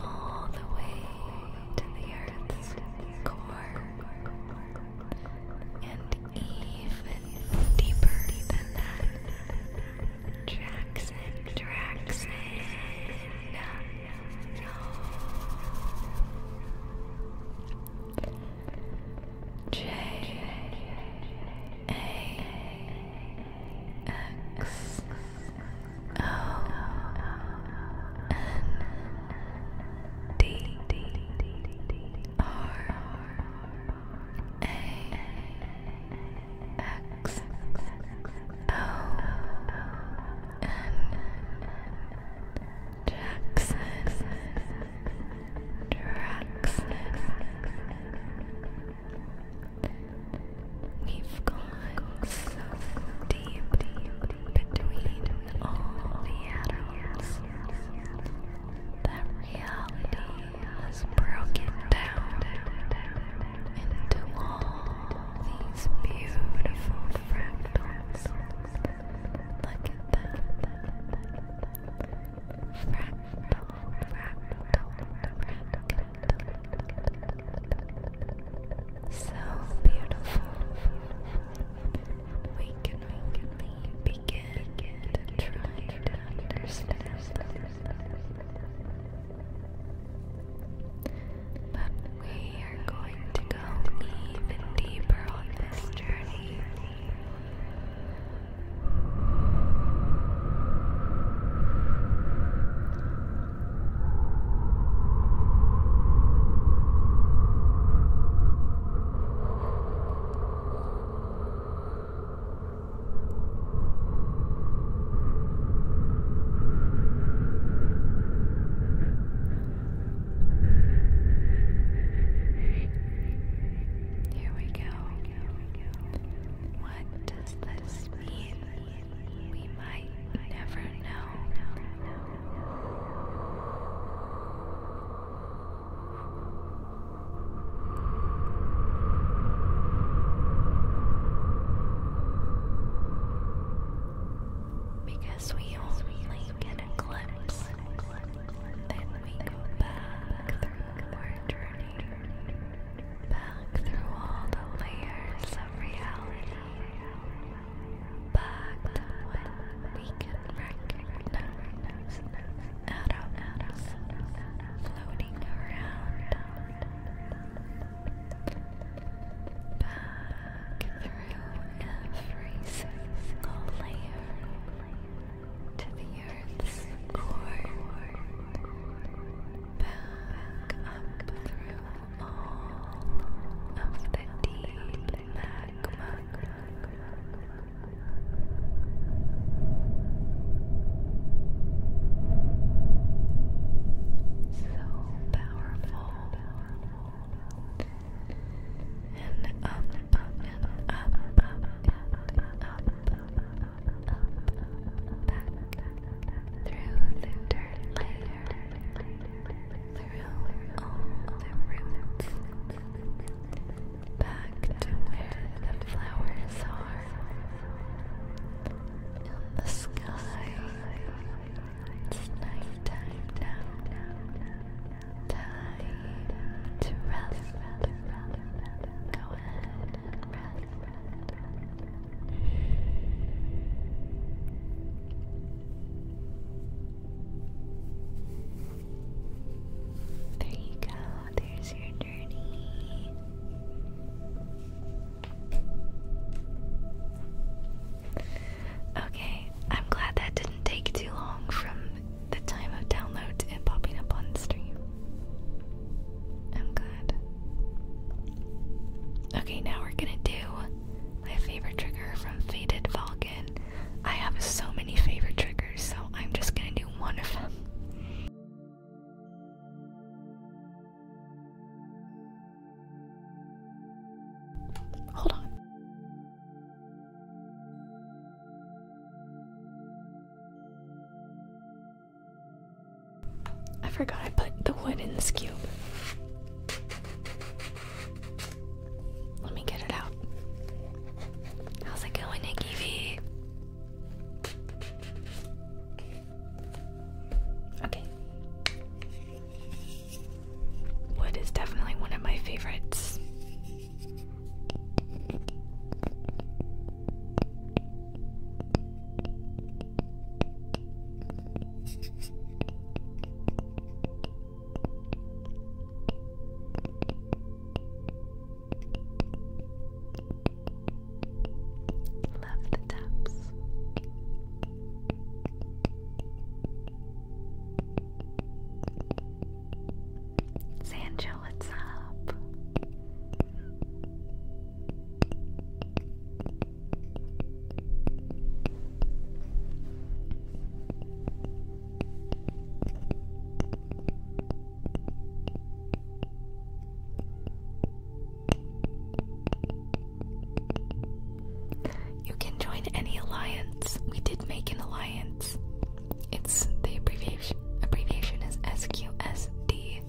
all the way to the earth's core and even deeper Jackson, J A X O N D R A X O N Jackson Jackson We've gone so deep, deep between all the atoms that reality has broken down into all these beautiful fractals. Look at them. Fractal, fractal, fractal. So beautiful. We can only begin to try to understand. But we are going to go even deeper on this journey. Here we go. What does this mean? we might never know. Because we only get a glimpse, then we go back through our journey back through all the layers of reality, back to what we can recognize atoms floating around, back through every single layer to the earth's core back up through all of the deep magma. So powerful, through the dirt through all roots, back to where the flowers are in the sky. It's night now. Time to rest. There you go, there's your journey. Okay, I'm glad that didn't take too long from the time of download and popping up on stream. I'm glad. Okay, now we're gonna do my favorite trigger from Faded Falcon. I have so many favorite triggers, so I'm just gonna do one of them. Hold on. I forgot I put the wood in this cube. Let me get it out. How's it going, Nikki V? Okay. Wood is definitely one of my favorites. Love the taps. Sancho, what's up? You can join any alliance. We did make an alliance. It's the abbreviation abbreviation is SQSD.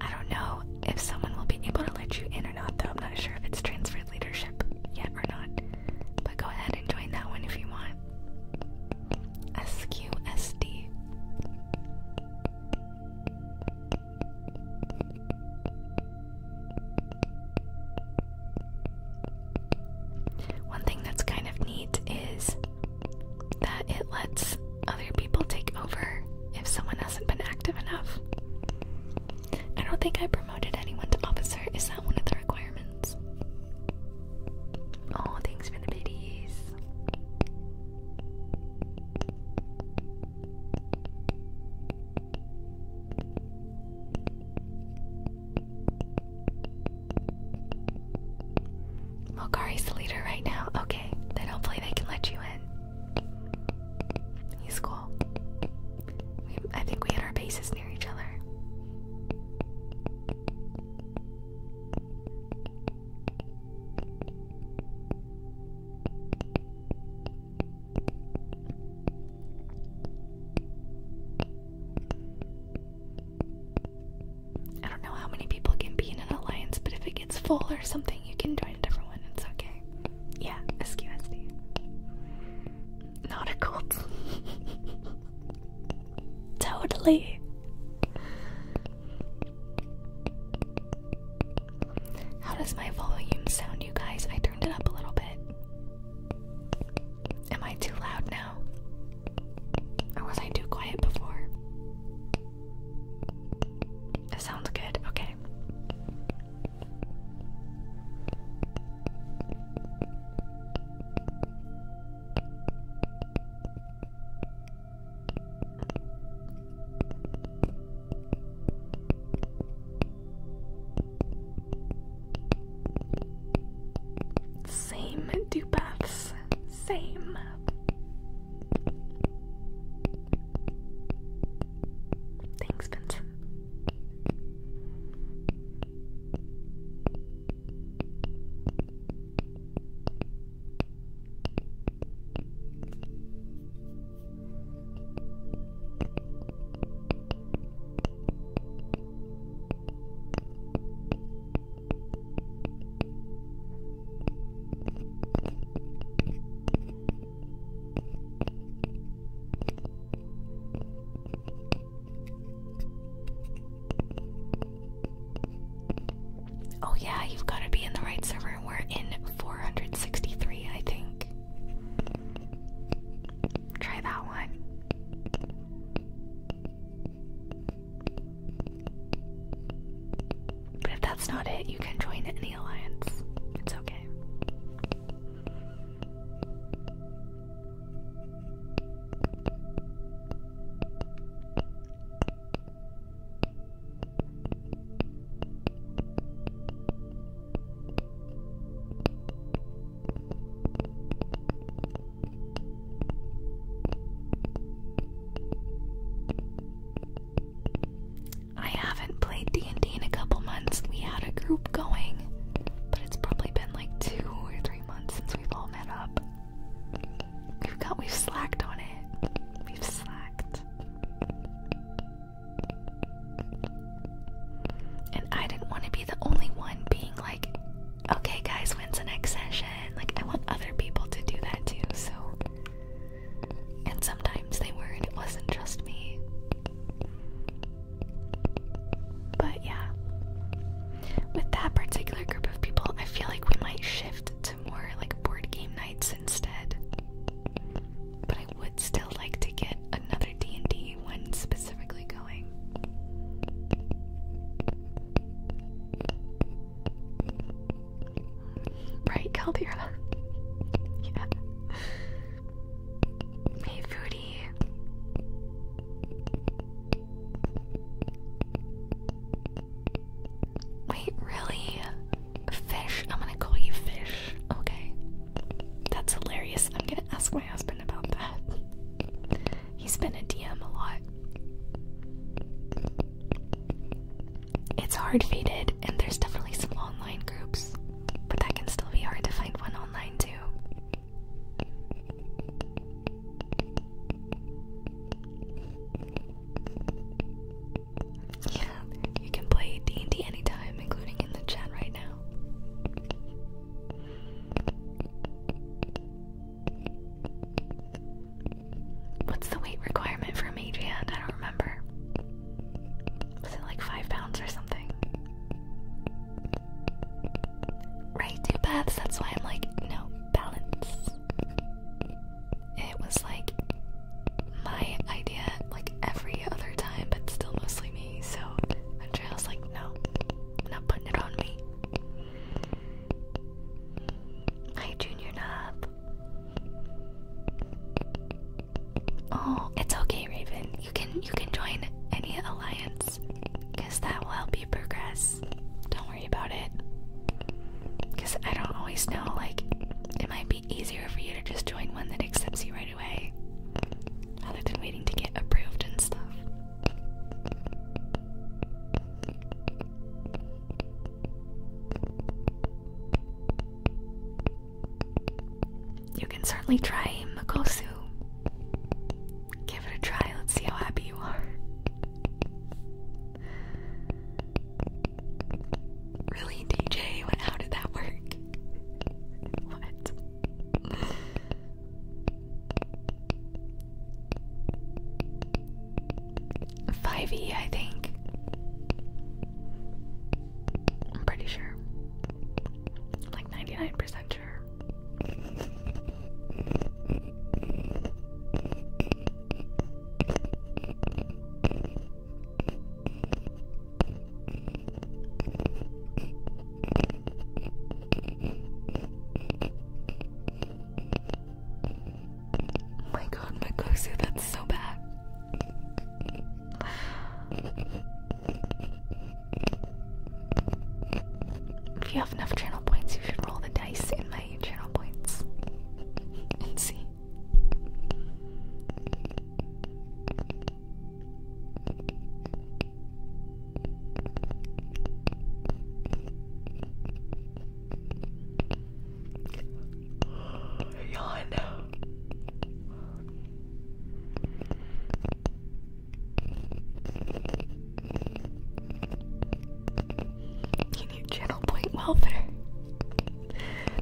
I don't know if someone will be able to let you in or not, though. I'm not sure if it's transferred leadership yet or not. But go ahead and join that one if you want. SQSD. One thing that's kind of neat is that it lets other people take over if someone hasn't been active enough. I don't think I promoted anyone to officer. Is that one of the requirements? Oh, thanks for the biddies. Mokari's the leader right now. Okay, then hopefully they can let you in. He's cool. I think we had our bases near each other. I don't know how many people can be in an alliance, but if it gets full or something, you can join a different one. It's okay. Yeah, SQSD. Not a cult. totally. How does my volume sound, you guys? I turned it up a little bit. Am I too loud now? Or was I too quiet before? That sounds good. Okay. Same do baths. Same. Thanks, Vincent. Oh, yeah, you've got to be in the right server. We're in 463, I think. Try that one. But if that's not it, you can join any alliance. It's okay. I haven't played D&D in a couple months. We had a group going, but it's probably been like 2 or 3 months since we've all met up. We've got we've slacked on it. We've slacked. And I didn't want to be the only one being like Okay, guys, when's the next session? Like, I want other people to do that too, so. And sometimes they were, not it wasn't just me. But yeah. With that particular group of people, I feel like we might shift to more like board game nights instead. But I would still like to get another D&D one specifically going. Right, Caldera. yeah. Hey, foodie. Wait, really? Fish? I'm gonna call you Fish. Okay. That's hilarious. I'm gonna ask my husband about that. He's been a DM a lot. It's hard fated and there's definitely some online groups, but that can still be hard to find one online too. Yeah, you can play D&D anytime, including in the chat right now. What's the weight requirement for a mage hand? I don't remember. Was it like five pounds or something? Right, two baths. that's why I'm like, no, balance. It was like my idea like every other time, but still mostly me, so eventually I was like, no, not putting it on me. Hi, Junior Knob. Oh, it's okay, Raven. You can you can join any alliance, cause that will help you progress. Don't worry about it. Cause I don't always know. Like, it might be easier for you to just join one that accepts you right away, rather than waiting to get approved and stuff. You can certainly try Makosu. Give it a try, let's see how happy you are. Really, DJ? How did that work? what? Five E, I think. I'm pretty sure. like ninety nine percent sure. Oh my god, Makosu, that's so bad. If you have enough channel points, you should roll the dice in my channel points and see. Yawn. You channel point welfare.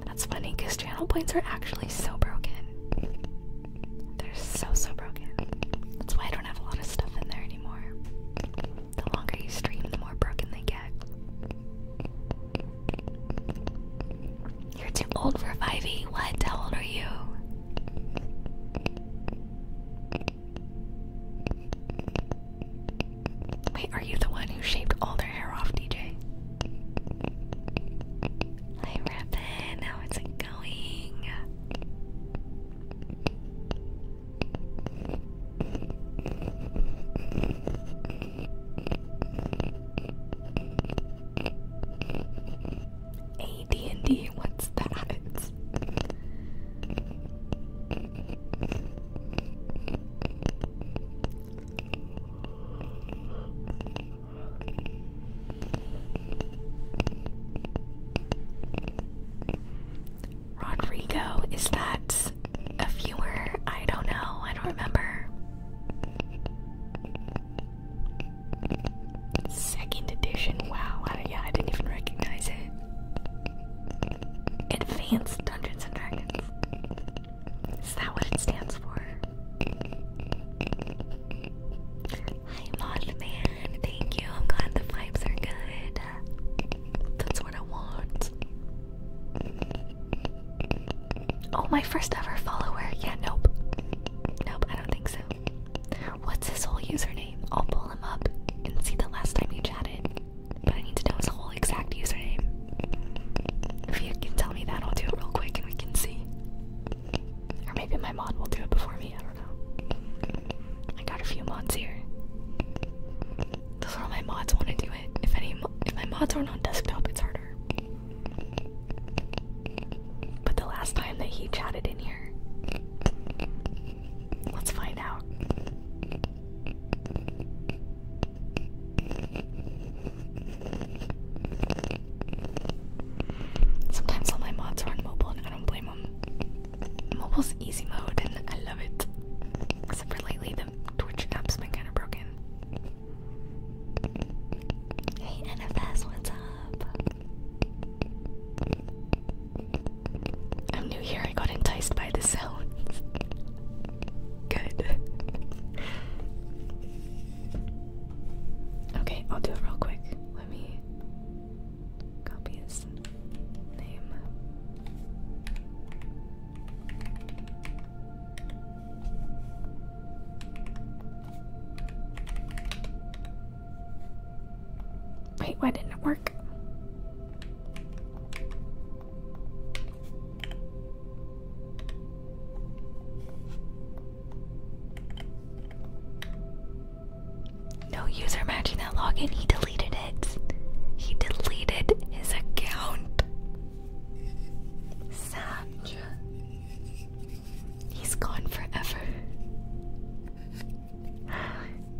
That's funny because channel points are actually so broken. They're so, so broken. That's why I don't have a lot of stuff in there the longer you stream, the more broken they get. You're too old for 5e. What? How old are you? Wait, are you the one who shaved all their hair off, DJ? Hi, Rappin', how is it going? AD&D, what's that? Rodrigo, is that a viewer? I don't know. I don't remember. Second edition. Wow. I, yeah, I didn't even recognize it. Advanced Dungeons and Dragons. Is that what it stands for? Hi, Mod Man. Thank you. I'm glad the vibes are good. That's what I want. Oh, my first ever follower. Yeah, nope. Nope, I don't think so. What's his whole username? I'll pull him up and see the last time he chatted. But I need to know his whole exact username. If you can tell me that, I'll do it real quick and we can see. Or maybe my mod will do it before me. I got a few mods here. Those are all my mods want to do it. If any, if my mods aren't on desktop, it's harder. But the last time that he chatted in here, let's find out. Sometimes all my mods are on mobile, and I don't blame Mobile's easy mode, and I love it. Except for lately, the Twitch app's been kind of broken. Hey, NFS, what's up? I'm new here, I got enticed by the sounds. Good. Okay, I'll do it real quick. Let me copy his name. Wait, why didn't it work? No user matching that login. He deleted it. He deleted his account. Saj. He's gone forever.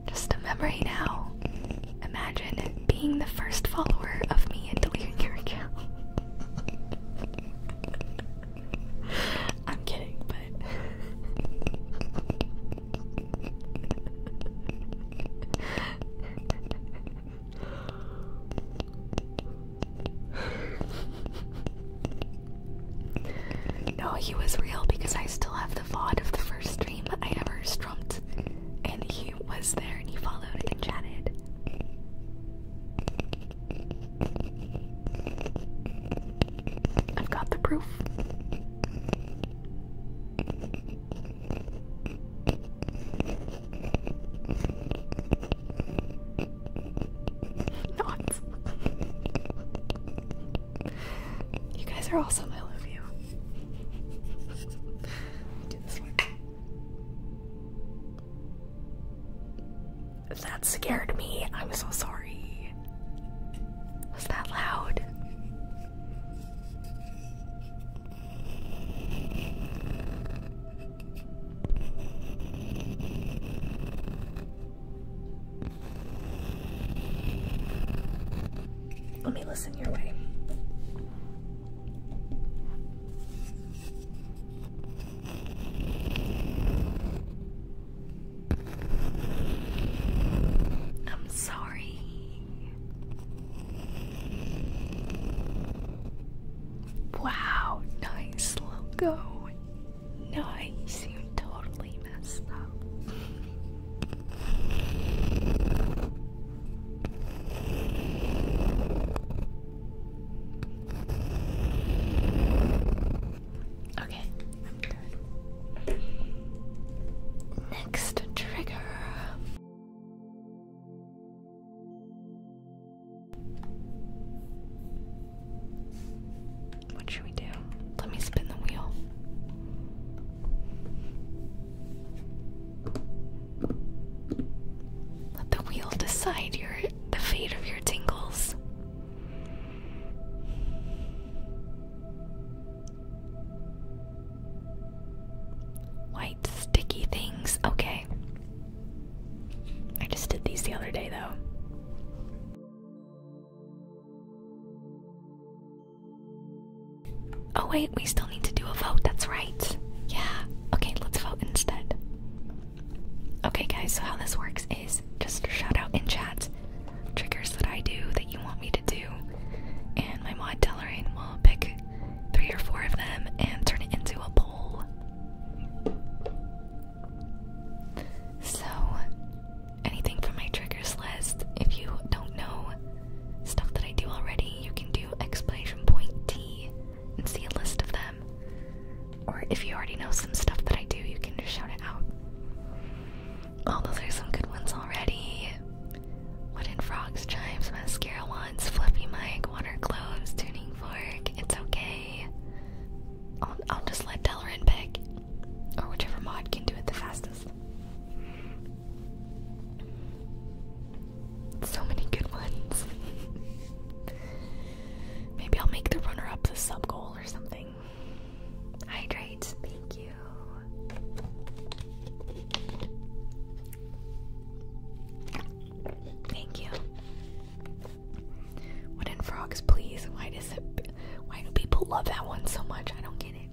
Just a memory now. Imagine being the first follower of me and deleting your account. I'm kidding, but no, he was real because I still have the VOD of the first stream I ever strumped, and he was there and he followed and chatted. I've got the proof. Not. You guys are awesome. I love you. That scared me. I'm so sorry. Was that loud? Let me listen your way. I'm sorry. Wow, nice logo. Nice, you totally messed up. Okay, Next trigger. What should we do? Let me spin the wheel. Let the wheel decide your the fate of your tingles. White sticky things. Okay. I just did these the other day, though. Oh, wait, we still need to do a vote. That's right. Yeah. Okay, let's vote instead. Okay, guys, so how this works is just shout out in chat triggers that I do that you want me to do, and my mod Deloraine will pick three or four of them and turn it into a poll. So, anything from my triggers list, if you don't know stuff that I do already, you can do explanation point T and see a list of them. Or if you already know some stuff that I do, you can just shout it out. Oh, those are some good ones already. Wooden frogs, chimes, mascara wands, fluffy mic, water globes, tuning fork. It's okay. I'll, just let Delrin pick, or whichever mod can do it the fastest. So many good ones. Maybe I'll make the runner up the sub goal or something. Hydrate, thank you. Thank you. What in frogs, please? Why does it? Why do people love that one so much? I don't get it.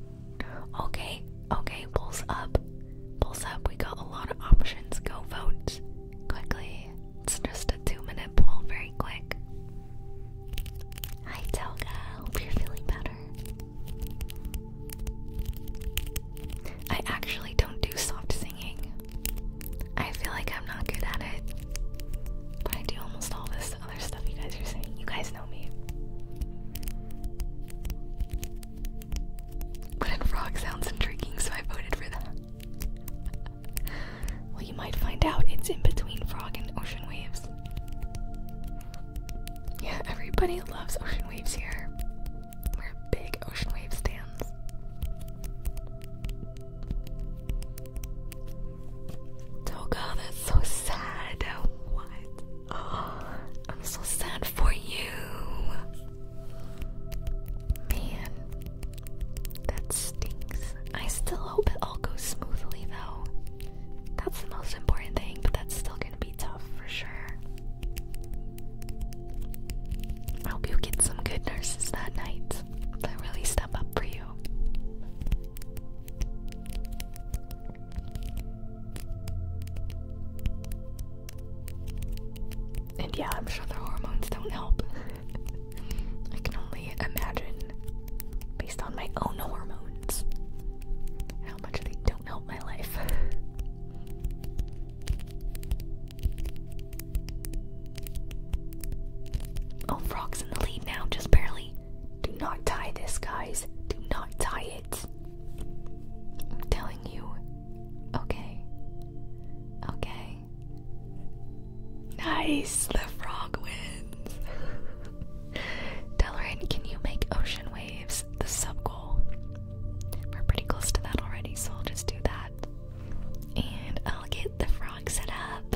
Okay, okay, pulse up, pulse up. We got a lot of options. Go vote quickly. It's just a two minute poll, very quick. Hi, Toga. Hope you're feeling better. I actually don't do soft singing. I feel like I'm not good at it. But I do almost all this other stuff you guys are saying. You guys know me. But frog sounds intriguing, so I voted for that well, you might find out it's in between frog and ocean waves. Yeah, everybody loves ocean waves here. We're big ocean wave stands. Toga, oh that's so sad. What? I'm so sad for you. Man, that stinks. I still hope it all goes smoothly though. That's the most important thing, but that's still gonna be tough for sure. hope you get some good nurses that night that really step up for you. And yeah, I'm sure the hormones don't help. I can only imagine, based on my own hormones, how much they don't help my life. oh, Frog's in the lead now, just barely. Do not tie this, guys. Do not tie it. I'm telling you. Okay. Okay. Nice, the frog wins. Delarin, can you make ocean waves the sub goal? We're pretty close to that already, so I'll just do that. And I'll get the frog set up.